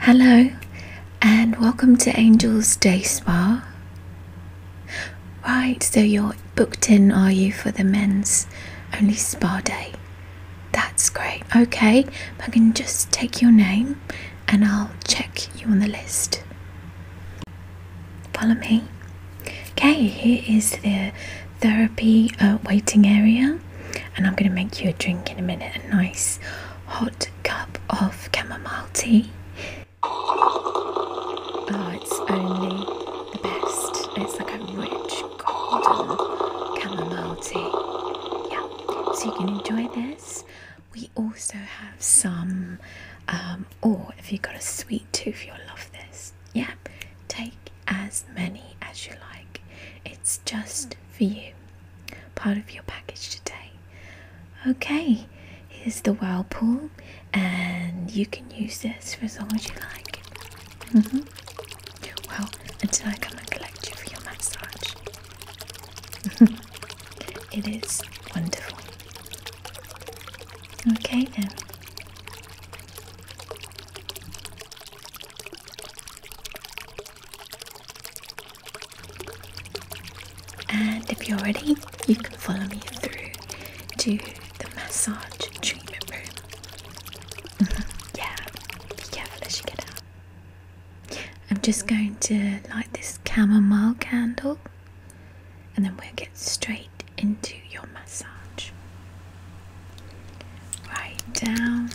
Hello, and welcome to Angel's Day Spa. Right, so you're booked in, are you, for the men's only spa day? That's great. Okay, I can just take your name and I'll check you on the list. Follow me. Okay, here is the therapy uh, waiting area, and I'm going to make you a drink in a minute, a nice hot cup of chamomile tea. Oh, it's only the best. It's like a rich golden chamomile tea. Yeah, so you can enjoy this. We also have some, um, or if you've got a sweet tooth, you'll love this. Yeah, take as many as you like. It's just for you part of your package today. Okay, here's the whirlpool, and you can use this for as long as you like. Mm-hmm. Well, until I come and collect you for your massage. it is wonderful. Okay, then. And if you're ready, you can follow me through to the massage treatment room. Mm-hmm. yeah, be careful as you get out. I'm just going to light this chamomile candle and then we'll get straight into your massage. Right down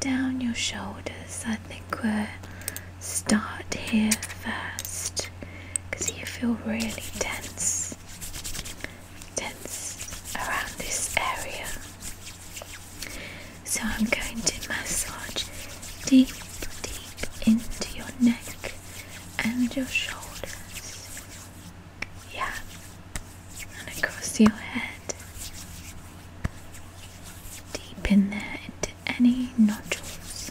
down your shoulders. I think we'll start here first because you feel really tense, tense around this area. So I'm going to massage deep, deep into your neck and your shoulders. Yeah, and across your head, deep in there into any nodules.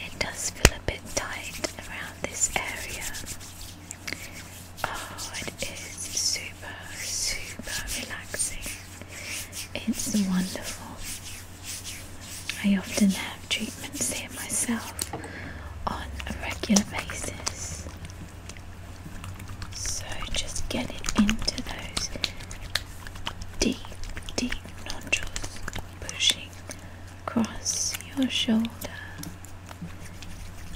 It does feel a bit tight around this area. Oh, it is super, super relaxing. It's wonderful. I often have treatments there myself on a regular basis. So just get it into those deep, deep nodules, pushing across your shoulder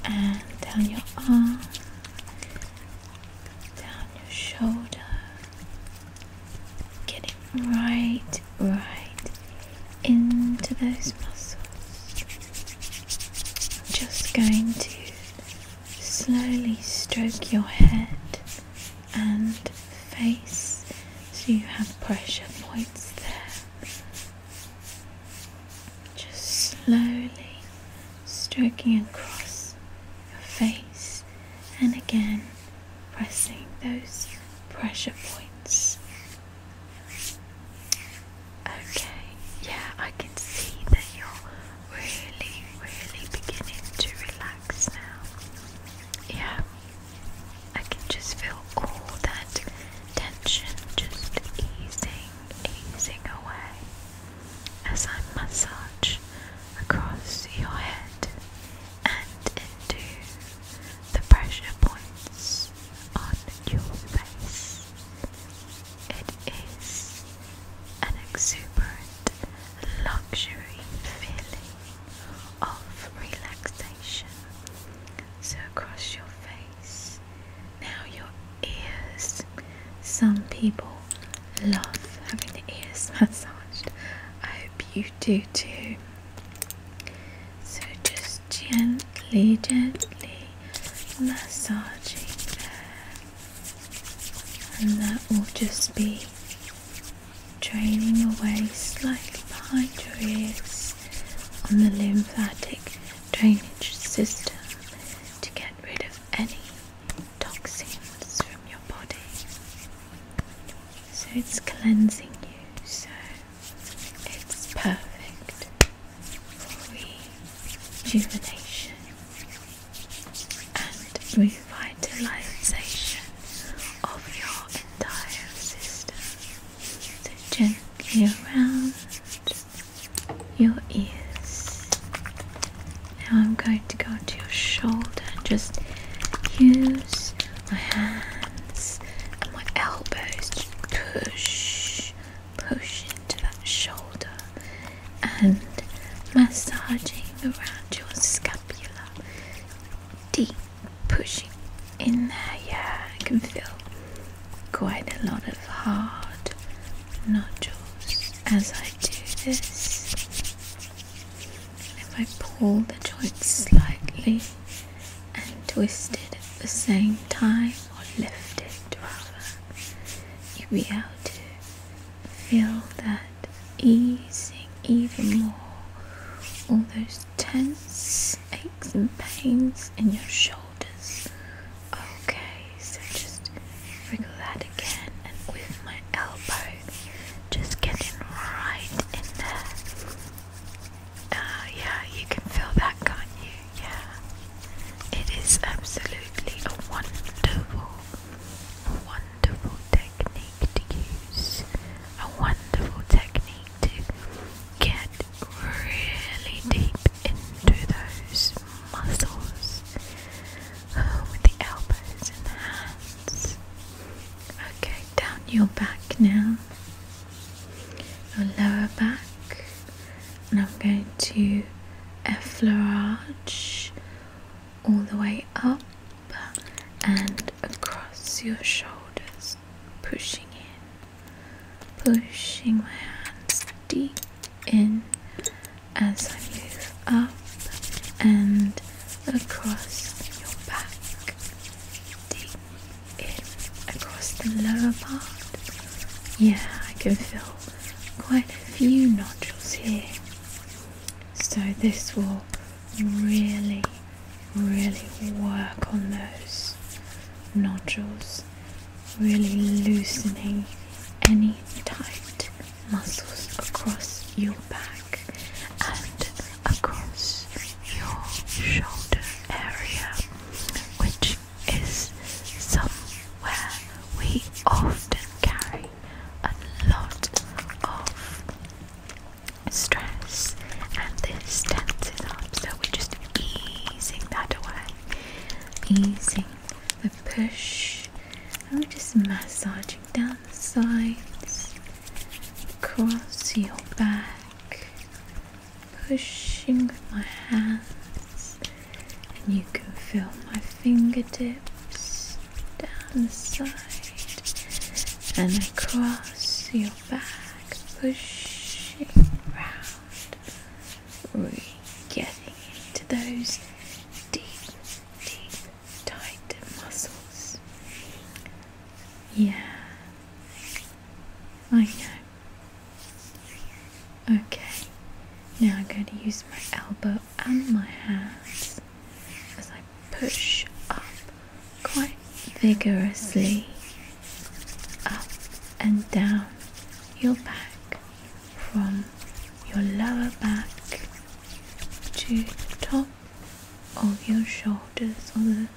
and down your arm, down your shoulder. Getting right, right into those muscles just going to slowly stroke your head and face so you have pressure points there. Just slowly stroking across your face and again pressing those pressure points. Okay, yeah, I can see that you're really, really beginning to relax now. Yeah, I can just feel all that tension just easing, easing away as I massage across your head and into the pressure points on your face. It is an exuberant, luxury feeling of relaxation. So, across your face, now your ears. Some people love having the ears massaged. I hope you do too. So, just gently, gently massaging there, and that will just be draining away slightly behind your ears on the lymphatic drainage system to get rid of any toxins from your body. So it's cleansing you, so it's perfect rejuvenation and revitalization of your entire system. So gently around your ears. Now I'm going to go to your shoulder just use my hands and my elbows to push Pushing to that shoulder and massaging around your scapula. Deep pushing in there, yeah, I can feel quite a lot of hard nodules as I do this. If I pull the joint slightly and twist it at the same time, or lift it rather, you'll be able to feel that easing even more all those tense aches and pains in your shoulders. Okay, so just wriggle that again, and with my elbow, just getting right in there. Ah, yeah, you can feel that, can't you? Yeah. It is absolutely a wonderful, wonderful technique to use. A wonderful technique to get really deep into those muscles uh, with the elbows and the hands. Okay, down your back now your lower back, and I'm going to effleurage all the way up and across your shoulders, pushing in, pushing my hands deep in as I move up and across your back, deep across the lower part. Yeah, I can feel quite a few nodules here. So this will really, really work on those nodules, really loosening any tight muscles across your back and across your shoulder area, which is somewhere we often carry a lot of stress and this tenses up so we're just easing that away easing the push and we're just massaging down the sides across your back pushing with my hands, and you can feel my fingertips down the side and across your back, pushing round, really getting into those deep, deep, tight muscles. Yeah, I know. Okay, now I'm going to use my elbow and my hands as I push up quite vigorously up and down your back from your lower back to the top of your shoulders or the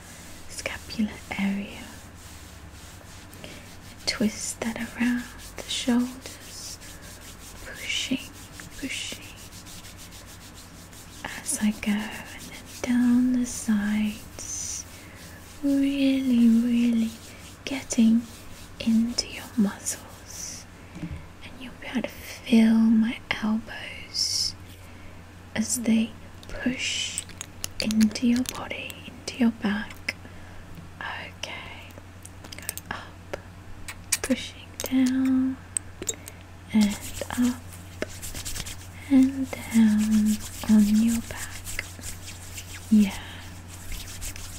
scapular area. Twist that around the shoulders, pushing, pushing as I go, and then down the sides, really, really getting into your muscles, and you'll be able to feel my elbows as they push into your body, into your back. Okay, up, pushing down, and up, and down on your back. Yeah,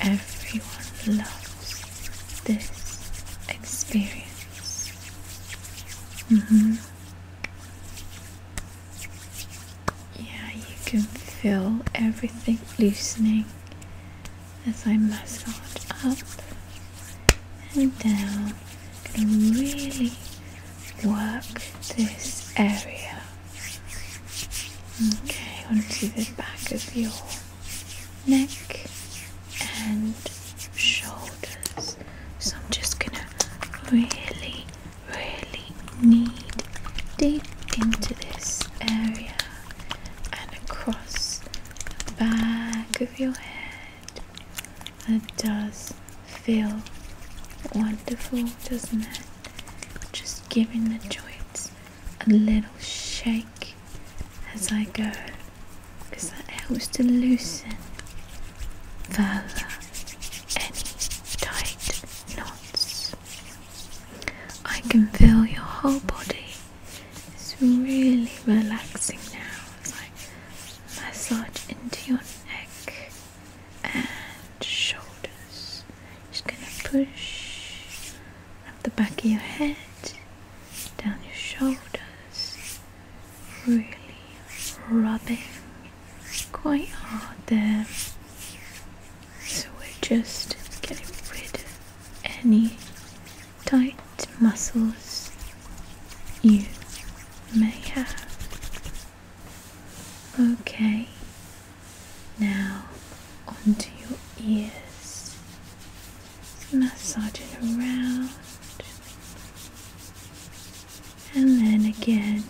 everyone loves this experience. Mm hmm. Yeah, you can feel everything loosening as I massage up and down. I'm really work this area. Okay, onto the back of your neck and shoulders. So I'm just gonna really really need deep into this area and across the back of your head. That does feel wonderful, doesn't it? Just giving the joints a little shake as I go because that helps to loosen further any tight knots. I can feel your whole body. It's really relaxing now as I massage into your neck and shoulders. Just gonna push up the back of your head, down your shoulders, really rubbing quite hard there. So we're just getting rid of any tight muscles you may have. Okay, now onto your ears, massaging around and then again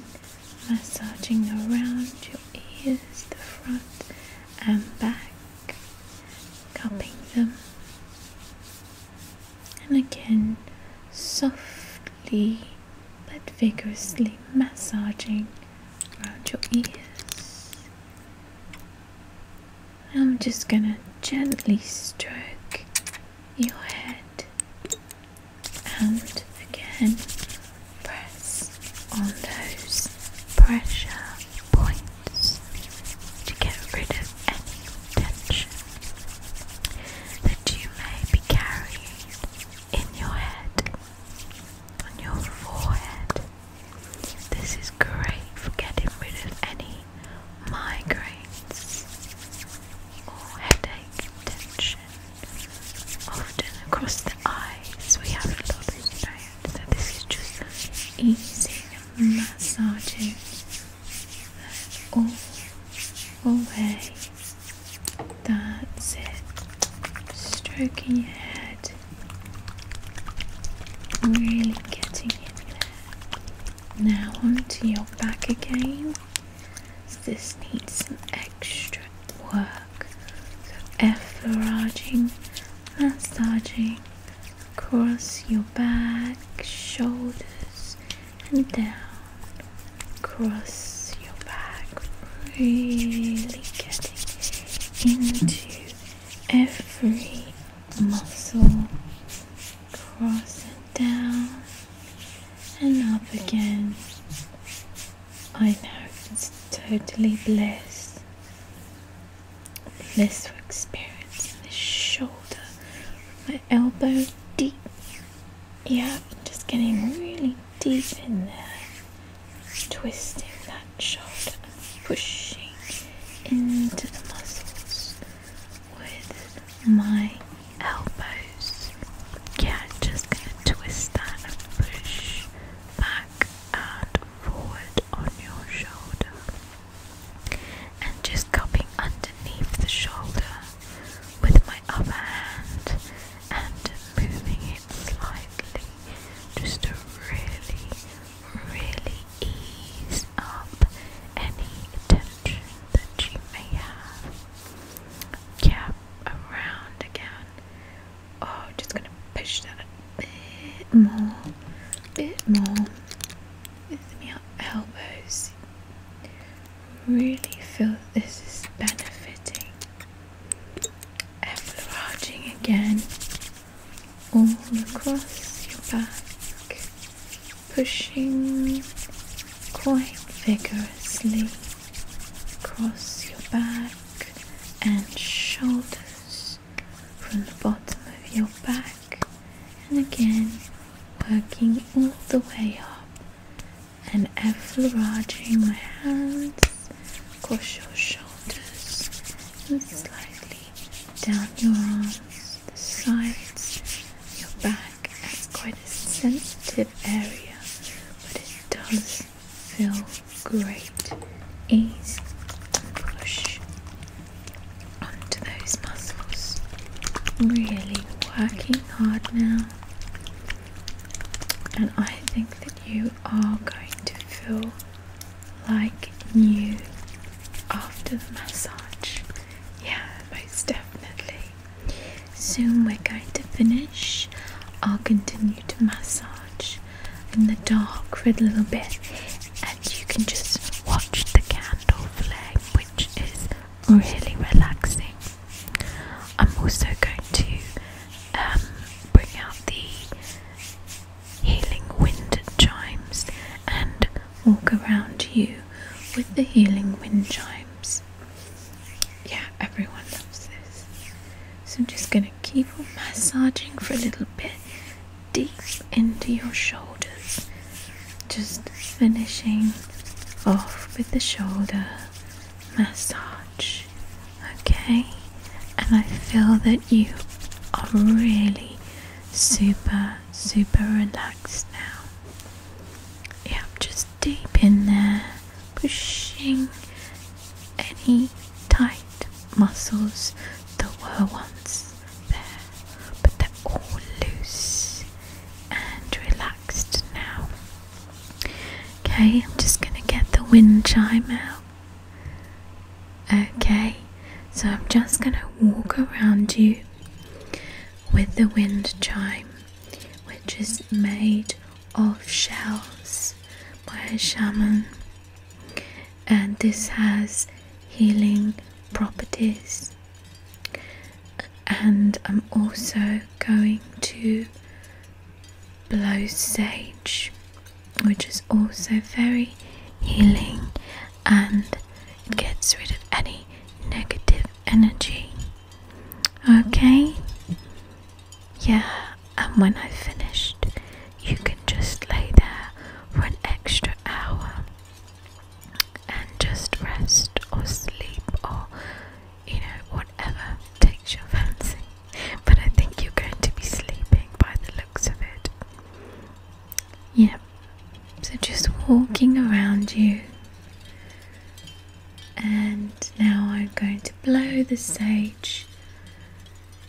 massaging around your ears, the front and back, cupping them, and again softly but vigorously massaging around your ears. I'm just gonna gently stroke your head and again press on those pressure points to get rid of any tension that you may be carrying in your head, on your forehead. This is great for getting rid of any migraines, or headache, tension. Often across the eyes, we have a lot of tired. So this is just easy and massaging all away. That's it. Stroking your head, really getting in there. Now onto your back again. This needs some extra work. So efforaging, massaging across your back, shoulders, and down. Across your back, really getting into every muscle cross it down and up again. I know it's totally bliss. Blissful experience in the shoulder, my elbow deep. Yeah, just getting really deep in there, twisting that shoulder pushing into the muscles with my elbows. Yeah, just gonna twist that and push back and forward on your shoulder. And just cupping underneath the shoulder with my other hand and moving it slightly just to really, really ease up any attention that she may have kept around again. Oh, just gonna push that a bit more, bit more. With my elbows, really feel this is benefiting. Effleuraging again all across your back pushing quite vigorously across your back and shoulders from the bottom of your back and again working all the way up and effleuraging my hands across your shoulders and slightly down your arms the sides, your back. It's quite a sensitive area, but it does feel great. Ease and push onto those muscles. Really working hard now, and I think that you are going to feel like new after the massage. Yeah, most definitely. Soon we're going to finish. I'll continue to massage in the dark for a little bit, and you can just watch the candle flame, which is really relaxing. I'm also going to um, bring out the healing wind chimes and walk around you with the healing wind chimes. Yeah, everyone loves this. So I'm just going to keep on massaging for a little bit deep into your shoulders. Just finishing off with the shoulder massage. Okay? And I feel that you are really super, super relaxed now. Yeah, just deep in there, pushing any tight muscles that were once there, but they're all loose and relaxed now. Okay, I'm just going to get the wind chime out. Okay, so I'm just going to walk around you with the wind chime, which is made of shells by a shaman, and this has healing properties. And I'm also going to blow sage, which is also very healing and it gets rid of any negative energy. Okay? Yeah, and when I've finished, you can just lay there for an extra hour and just rest or sleep or, you know, whatever takes your fancy. But I think you're going to be sleeping by the looks of it. Yeah, so just walking around you. And now I'm going to blow the sage,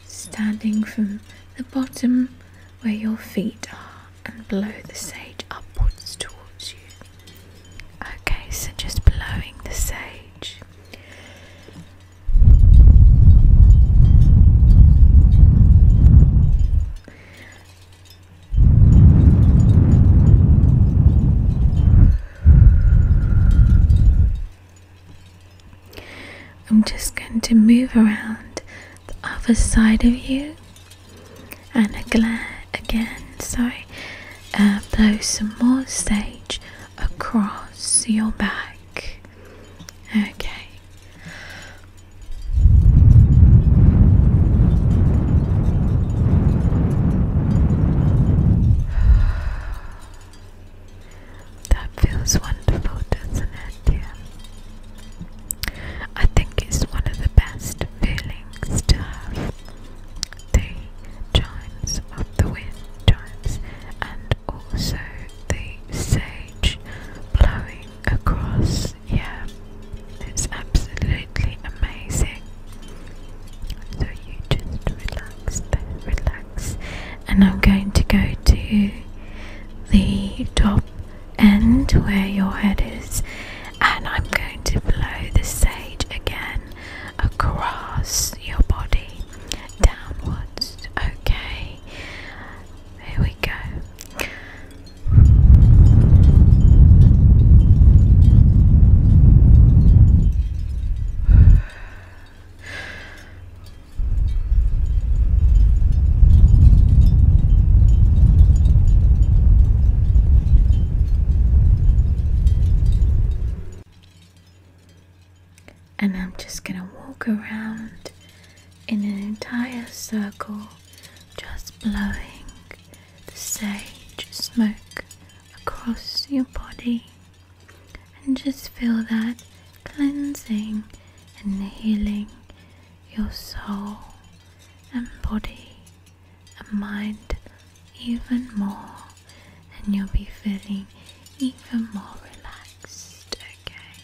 standing from the bottom where your feet are, and blow the sage upwards towards you. Okay, so just blowing the sage. I'm just going to move around the other side of you and again, sorry, uh, blow some more sage across your back. Okay. That feels wonderful, doesn't it, I think it's one of the best feelings to have. The chimes of the wind chimes and also the sage blowing across. Yeah, it's absolutely amazing. So you just relax relax. And I'm going to go to the top end where your head is, and I'm going to blow the sage again across your body downwards. Okay, here we go. And I'm just gonna walk around in an entire circle, just blowing the sage smoke across your body, and just feel that cleansing and healing your soul and body and mind even more, and you'll be feeling even more relaxed. Okay.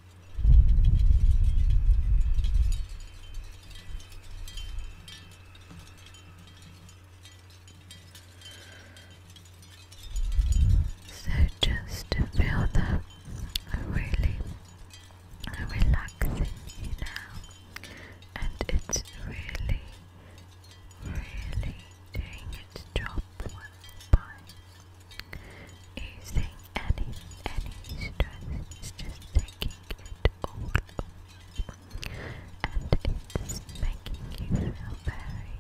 So just feel that really relaxing you now, and it's really, really doing its job well Using any any stress is just taking it all off. And it's making you feel very,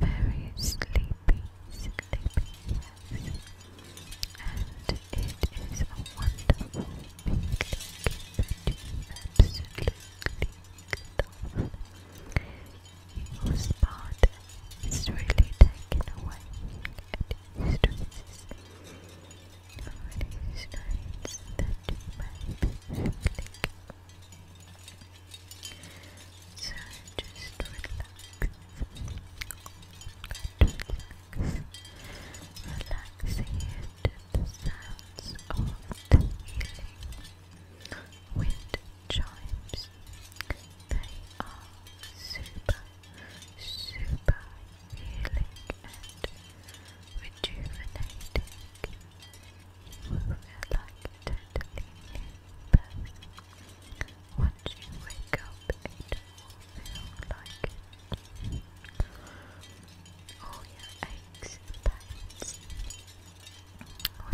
very sleepy, sleepy, yes. And it is a wonderful feeling that you absolutely love. You will spot it's really taken away and it stresses on these nights that you might be feeling. So just relax. Got to relax. Relax here to the sounds of the healing wind chimes. They are super super healing and rejuvenating. You will feel totally new Once you wake up, it will feel like All your aches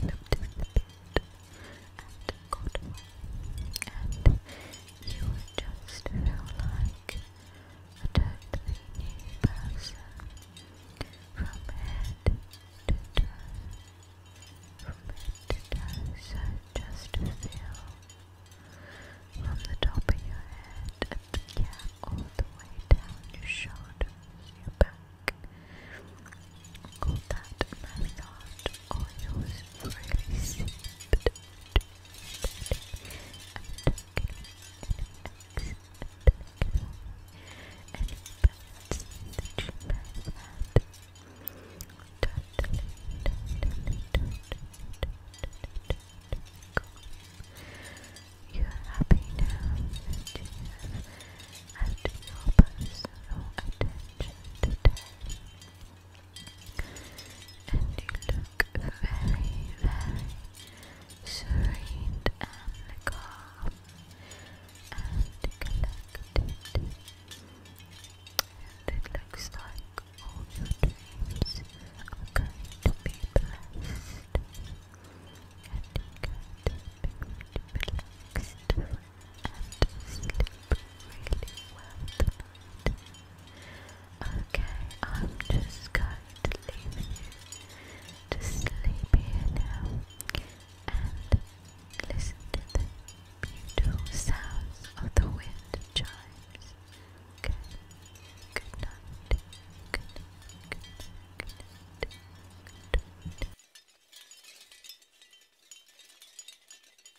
and pains and got and you just feel like a totally new person from head to toe, from head to toe, so just feel from the top of your head at the cap all the way down your shoulders, your back. Call that massage oil was really seeped I'm and bats that you might have had. Totally, totally, totally, totally cool. You're happy now that you have had your personal attention today and you look very, very serene and calm and collected. And it looks like all your dreams are going to be blessed. And you going to be relaxed Okay, I'm just going to leave you to sleep here now and listen to the beautiful sounds of the wind chimes. Okay, good night. Good night. Good night. Good night.